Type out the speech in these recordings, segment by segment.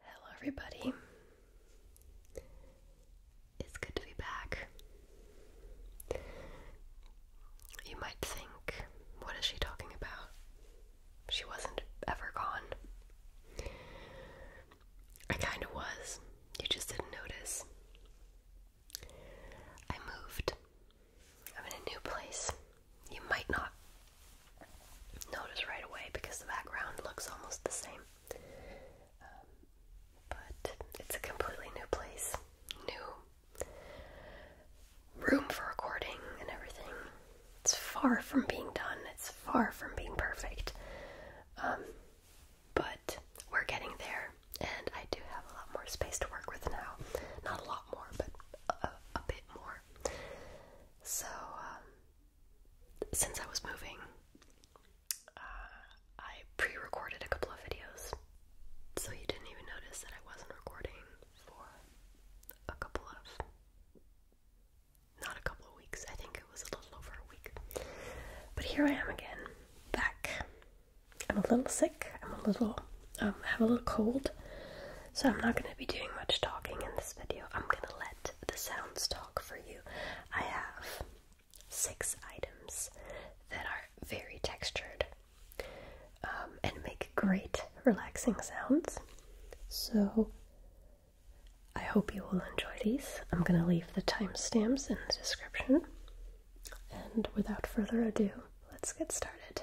Hello, everybody. It's good to be back. You might think, what is she talking about? She wasn't ever gone. I kinda was. You just didn't notice. I moved. I'm in a new place. You might not notice right away because the background looks almost the same. Um, but it's a completely new place. New room for recording and everything. It's far from being done, it's far from being perfect. Um, but we're getting there, and I do have a lot more space to work with now. Not a lot more, but a, bit more. So, um, since I was moving, uh, I pre recorded a couple of videos so you didn't even notice that I wasn't recording for a couple of not a couple of weeks. I think it was a little over a week. But here I am again, back. I'm a little sick. I'm a little I um, have a little cold. So I'm not going to be doing much talking in this video. I'm going to let the sounds talk for you. I have six items that are very textured um, and make great relaxing sounds. So I hope you will enjoy these. I'm going to leave the timestamps in the description. And without further ado, let's get started.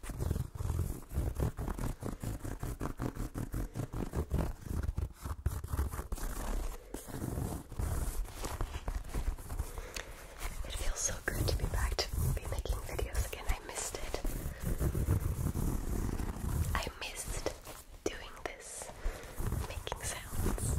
It feels so good to be back to be making videos again. I missed it. I missed doing this, making sounds.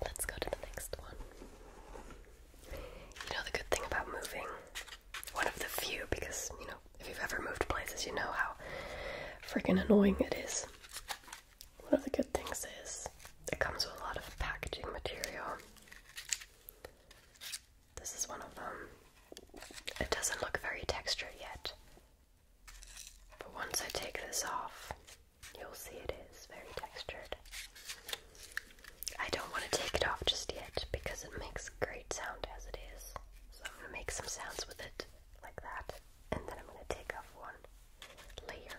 Let's go to the next one. You know the good thing about moving, one of the few, because, you know, if you've ever moved places, you know how freaking annoying it is. One of the good things is it comes with a lot of packaging material. This is one of them. It doesn't look very textured yet. But once I take this off, you'll see it is very textured. I don't want to take it off just yet because it makes great sound as it is. So I'm going to make some sounds with it like that. And then I'm going to take off one layer.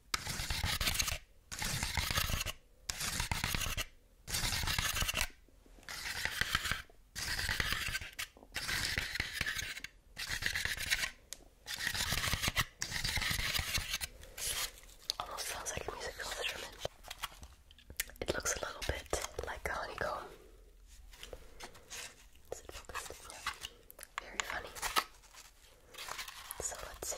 Almost sounds like a musical instrument. It looks a little bit like a honeycomb. Is it focused? Yeah. Very funny. So let's see.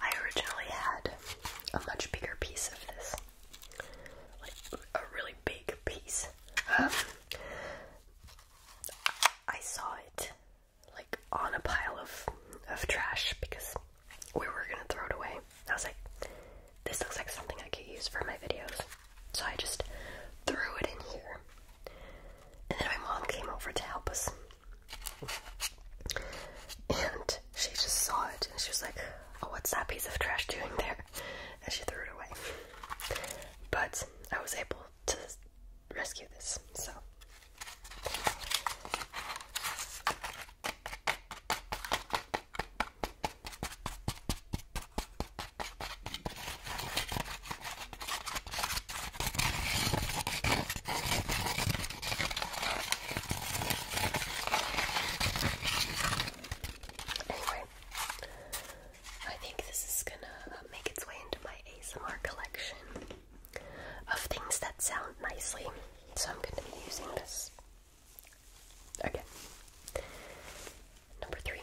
I originally had a much bigger piece of this. Like a really big piece. Um, I saw it like on a pile of of trash because we were gonna throw it away. I was like, this looks like something I could use for my videos. So I just threw it in here. And then my mom came over to help us and she just saw it and she was like, Oh, what's that piece of trash doing there? And she threw it away. But I was able to rescue this, so. Anyway, I think this is gonna uh, make its way into my ASMR collection of things that sound nicely. So I'm gonna be using this. Okay. Number three.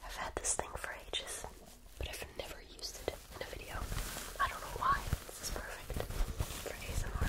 I've had this thing for ages, but I've never used it in a video. I don't know why. This perfect for ASMR.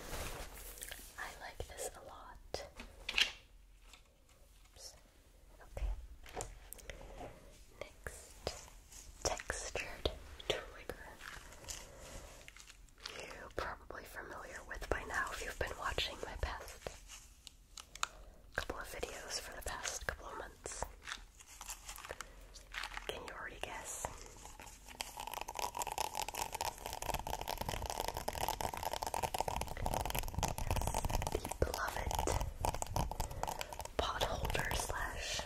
I like this a lot. Okay. Next, textured trigger. You're probably familiar with by now if you've been watching my past couple of videos for the past couple of months. Can you already guess? the beloved pot holder slash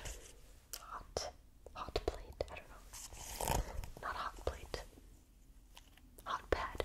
hot hot plate. I don't know. Not hot plate. Hot pad.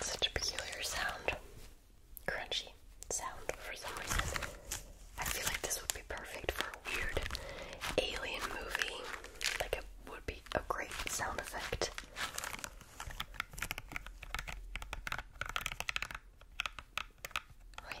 Such a peculiar sound. Crunchy sound for some reason. I feel like this would be perfect for a weird alien movie. Like it would be a great sound effect. Wait.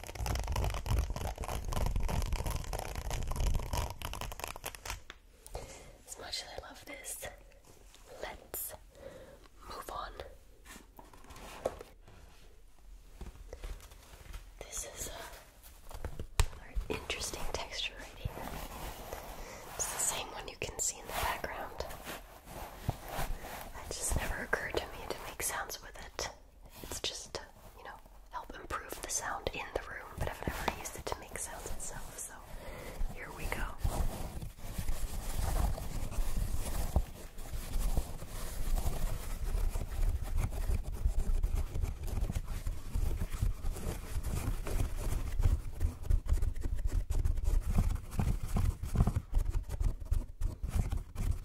As much as I love this, let's move on. This is a interesting texture right here. It's the same one you can see in the background. It just never occurred to me to make sounds with it. It's just you know, help improve the sound in the room, but I've never used it to make sounds itself, so here we go.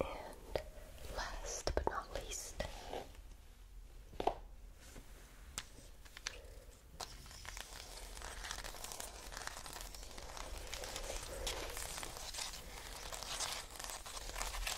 And last but not least,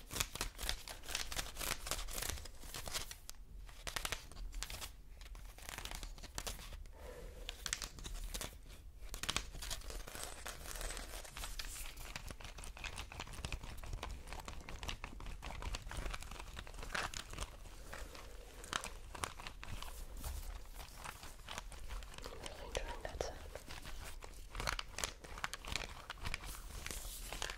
I'm really enjoying that sound.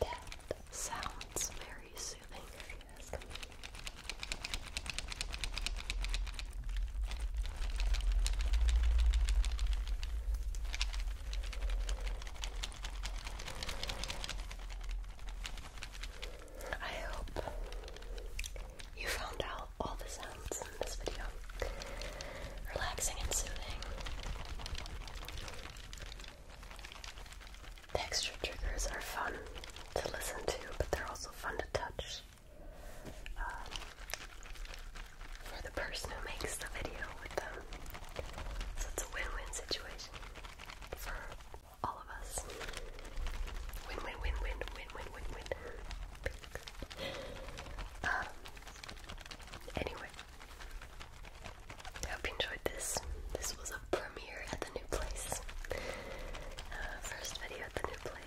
That sounds very soothing if you I hope you found out all the sounds in this video relaxing and soothing. The extra triggers are fun to listen to, but they're also fun to touch. Um, for the person who makes the video with them. So it's a win-win situation for all of us. Win, win, win, win, win, win, win, win. Um, anyway, I hope you enjoyed this. This was a premiere at the new place. Uh, first video at the new place.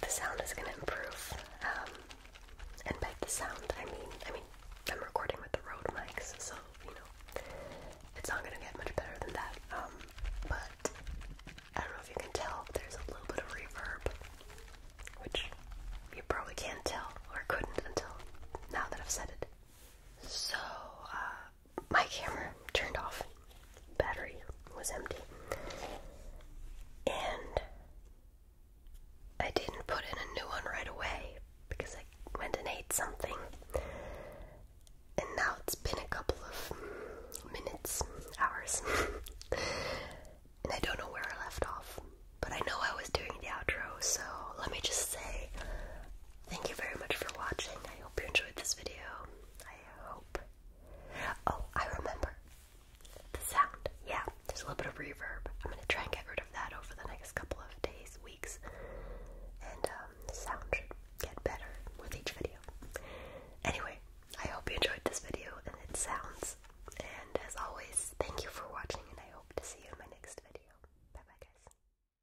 The sound is going to improve, um, and by the sound I mean, I mean, I'm recording with the Rode mics, so you know, it's not going to get much better than that. Um, but I don't know if you can tell, there's a little bit of reverb, which you probably can't tell or couldn't until now that I've said it. So, uh, my camera turned off. Battery was empty. And I didn't put in a new one right away because I went and ate something. And now it's been a couple of minutes, hours. and I don't know where I left off. But I know I was doing the outro, so let me just say thank you very much for watching hope you enjoyed this video. I hope. Oh, I remember the sound. Yeah, there's a little bit of reverb. I'm gonna try and get rid of that over the next couple of days, weeks, and um, sound get better with each video. Anyway, I hope you enjoyed this video and it sounds. And as always, thank you for watching, and I hope to see you in my next video. Bye bye, guys.